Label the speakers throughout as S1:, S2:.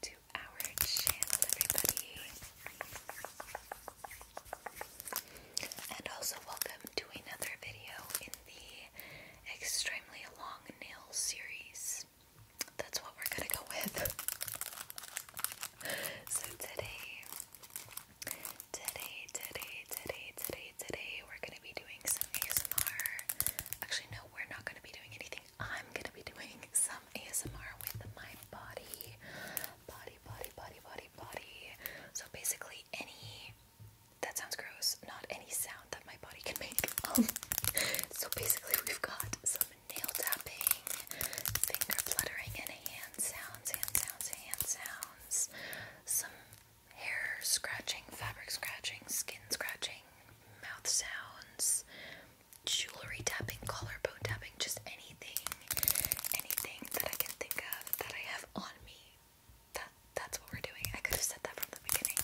S1: to our channel, everybody. And also, welcome to another video in the extremely long nail series. That's what we're gonna go with. so, today, today, today, today, today, today, we're gonna be doing some ASMR. Actually, no, we're not gonna be doing anything I'm gonna be doing some ASMR with my body, body, body, body, body, body. So basically, any that sounds gross, not any sound that my body can make. Um, so basically, we've got some nail tapping, finger fluttering, and hand sounds, hand sounds, hand sounds, some hair scratching, fabric scratching, skin scratching, mouth sounds, jewelry tapping, collarbone tapping, just anything, anything that I can think of that I have on me. That that's what we're doing. I could have said that from the beginning.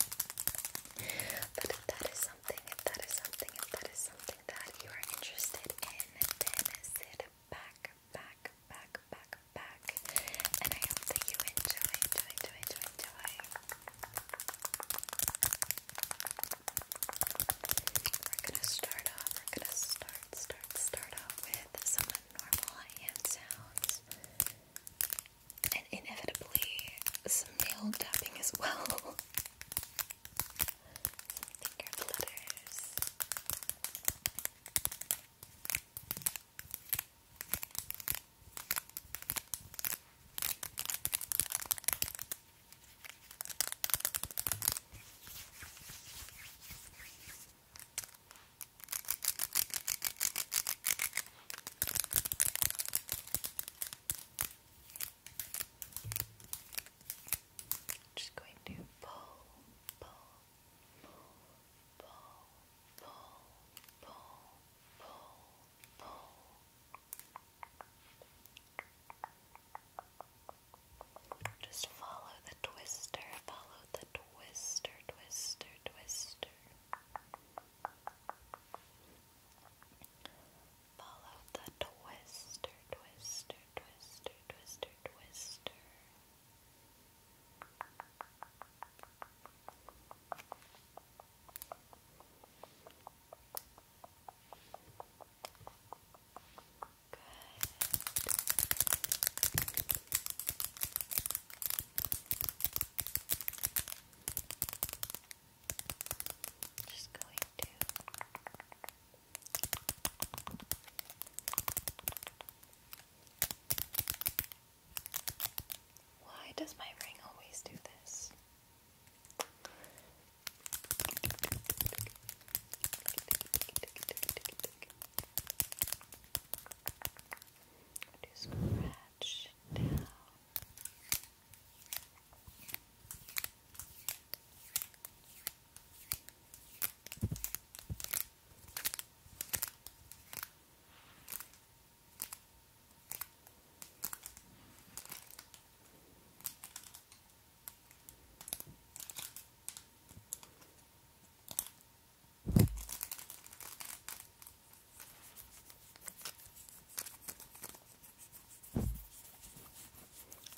S1: But if that is something, if that is something, if that is something that you are interested in, then sit back, back, back, back, back. And I hope that you enjoy, enjoy, enjoy, enjoy, we're gonna start off, we're gonna start, start, start off with some normal hand sounds. And inevitably, some nail tapping as well. finger flutters. Just going to pull, pull, pull, pull, pull, pull, pull, pull. Just follow the twister, follow the twister, twister, twister. Follow the twister, twister, twister, twister, twister. Just going to Why does my ring always do this? Just scratch down. Good.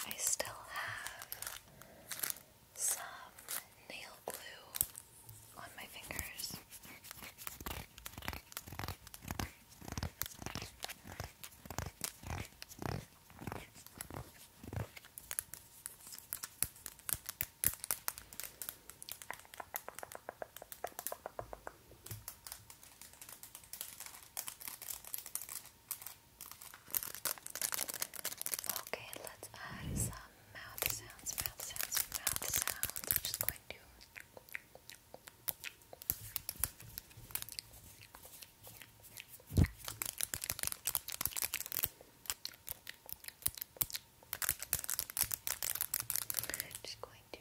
S1: I still have some nail glue on my fingers. Okay, let's add some mouth sounds, mouth sounds, mouth sounds. just going just going to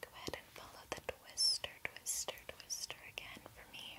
S1: Go ahead and follow the twister, twister, twister again for me.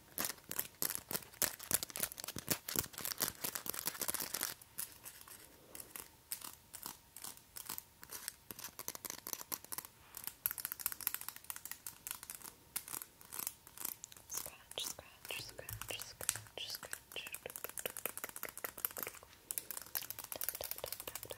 S1: Scratch, scratch, scratch, scratch, scratch. Tap, tap, tap, tap, tap, tap, tap.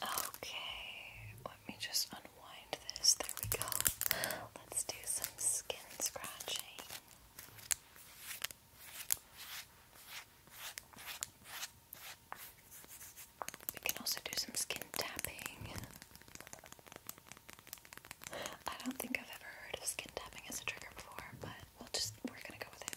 S1: Okay, let me just unwind this. There we go. Let's do some skin scratching. We can also do some skin tapping. I don't think I've ever heard of skin tapping as a trigger before, but we'll just we're gonna go with it.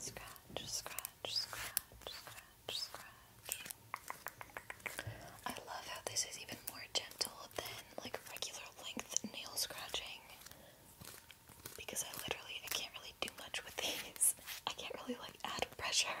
S1: Scratch, scratch, scratch, scratch, scratch. I love how this is even more gentle than like regular length nail scratching. Because I literally I can't really do much with these. I can't really like add pressure.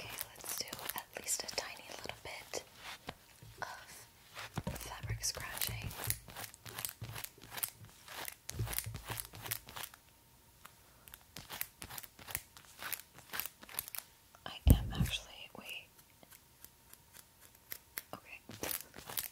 S1: Okay, let's do at least a tiny little bit of fabric scratching. I am actually wait. Okay.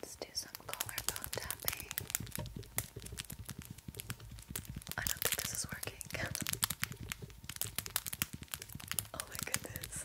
S1: Let's do some collarbone tapping. I don't think this is working. oh my goodness.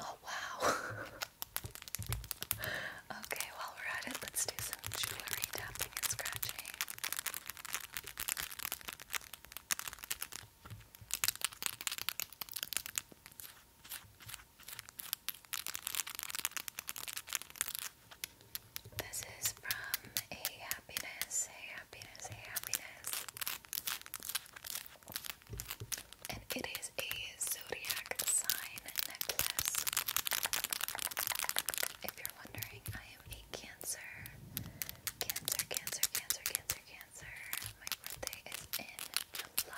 S1: Oh, wow. okay, while we're at it, let's do some jewelry tapping and scratching. This is from A Happiness, A Happiness, A Happiness. And it is a zodiac sign necklace. If you're wondering, I am a Cancer. Cancer, Cancer, Cancer, Cancer, Cancer. My birthday is in July.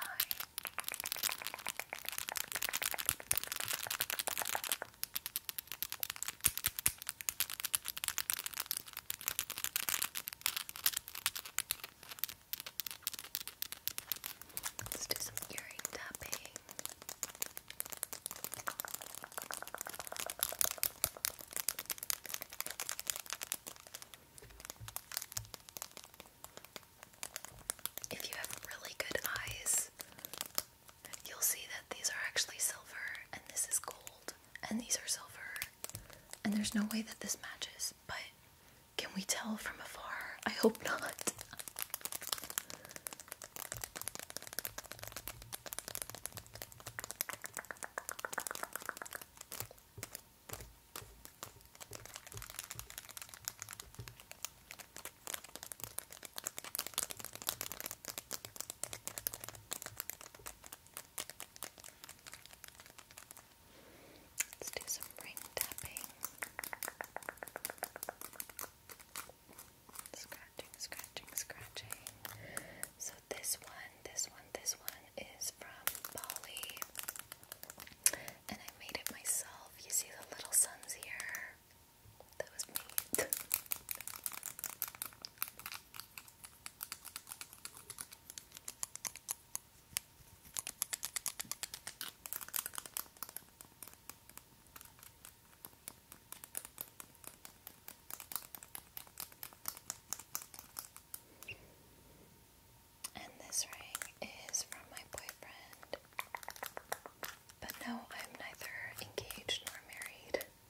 S1: Let's do some earring tapping. If you have really good eyes, you'll see that these are actually silver and this is gold and these are silver and there's no way that this matches but can we tell from afar? I hope not. Let's do some ring tapping. Scratching, scratching, scratching. So this one, this one, this one is from Bali. And I made it myself. You see the little suns here. That was me. And this ring is from my boyfriend. But no, I'm neither engaged nor married.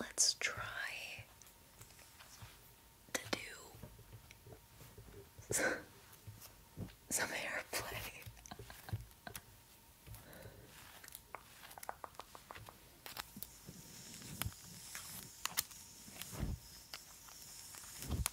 S1: Let's try to do some airplay.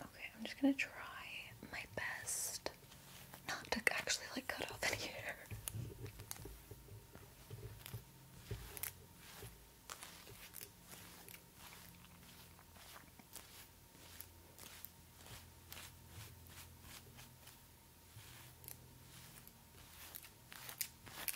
S1: Okay, I'm just gonna try my best not to actually like cut off any hair.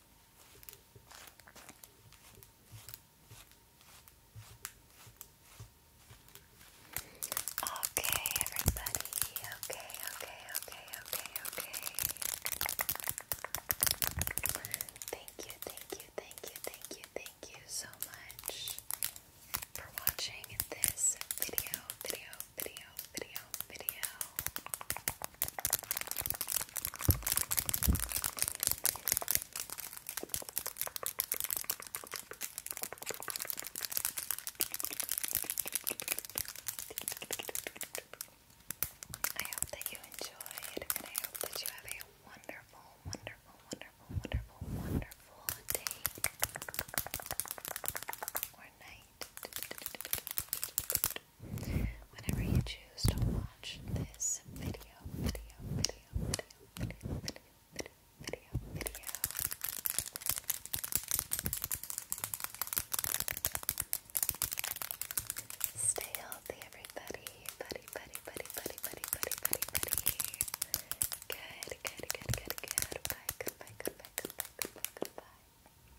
S1: Okay, everybody. Okay, okay, okay, okay, okay. Thank you, thank you, thank you, thank you, thank you so much for watching this video, video, video, video, video. I hope that you enjoyed, and I hope that you have a wonderful, wonderful, wonderful, wonderful, wonderful day or night whenever you choose to watch this video, video, video, video, video, video, video, video, video. Stay healthy, everybody. Buddy, buddy, buddy, buddy, buddy, buddy, buddy, buddy. Good, good, good, good, good. Bye, goodbye, goodbye, goodbye, goodbye, goodbye.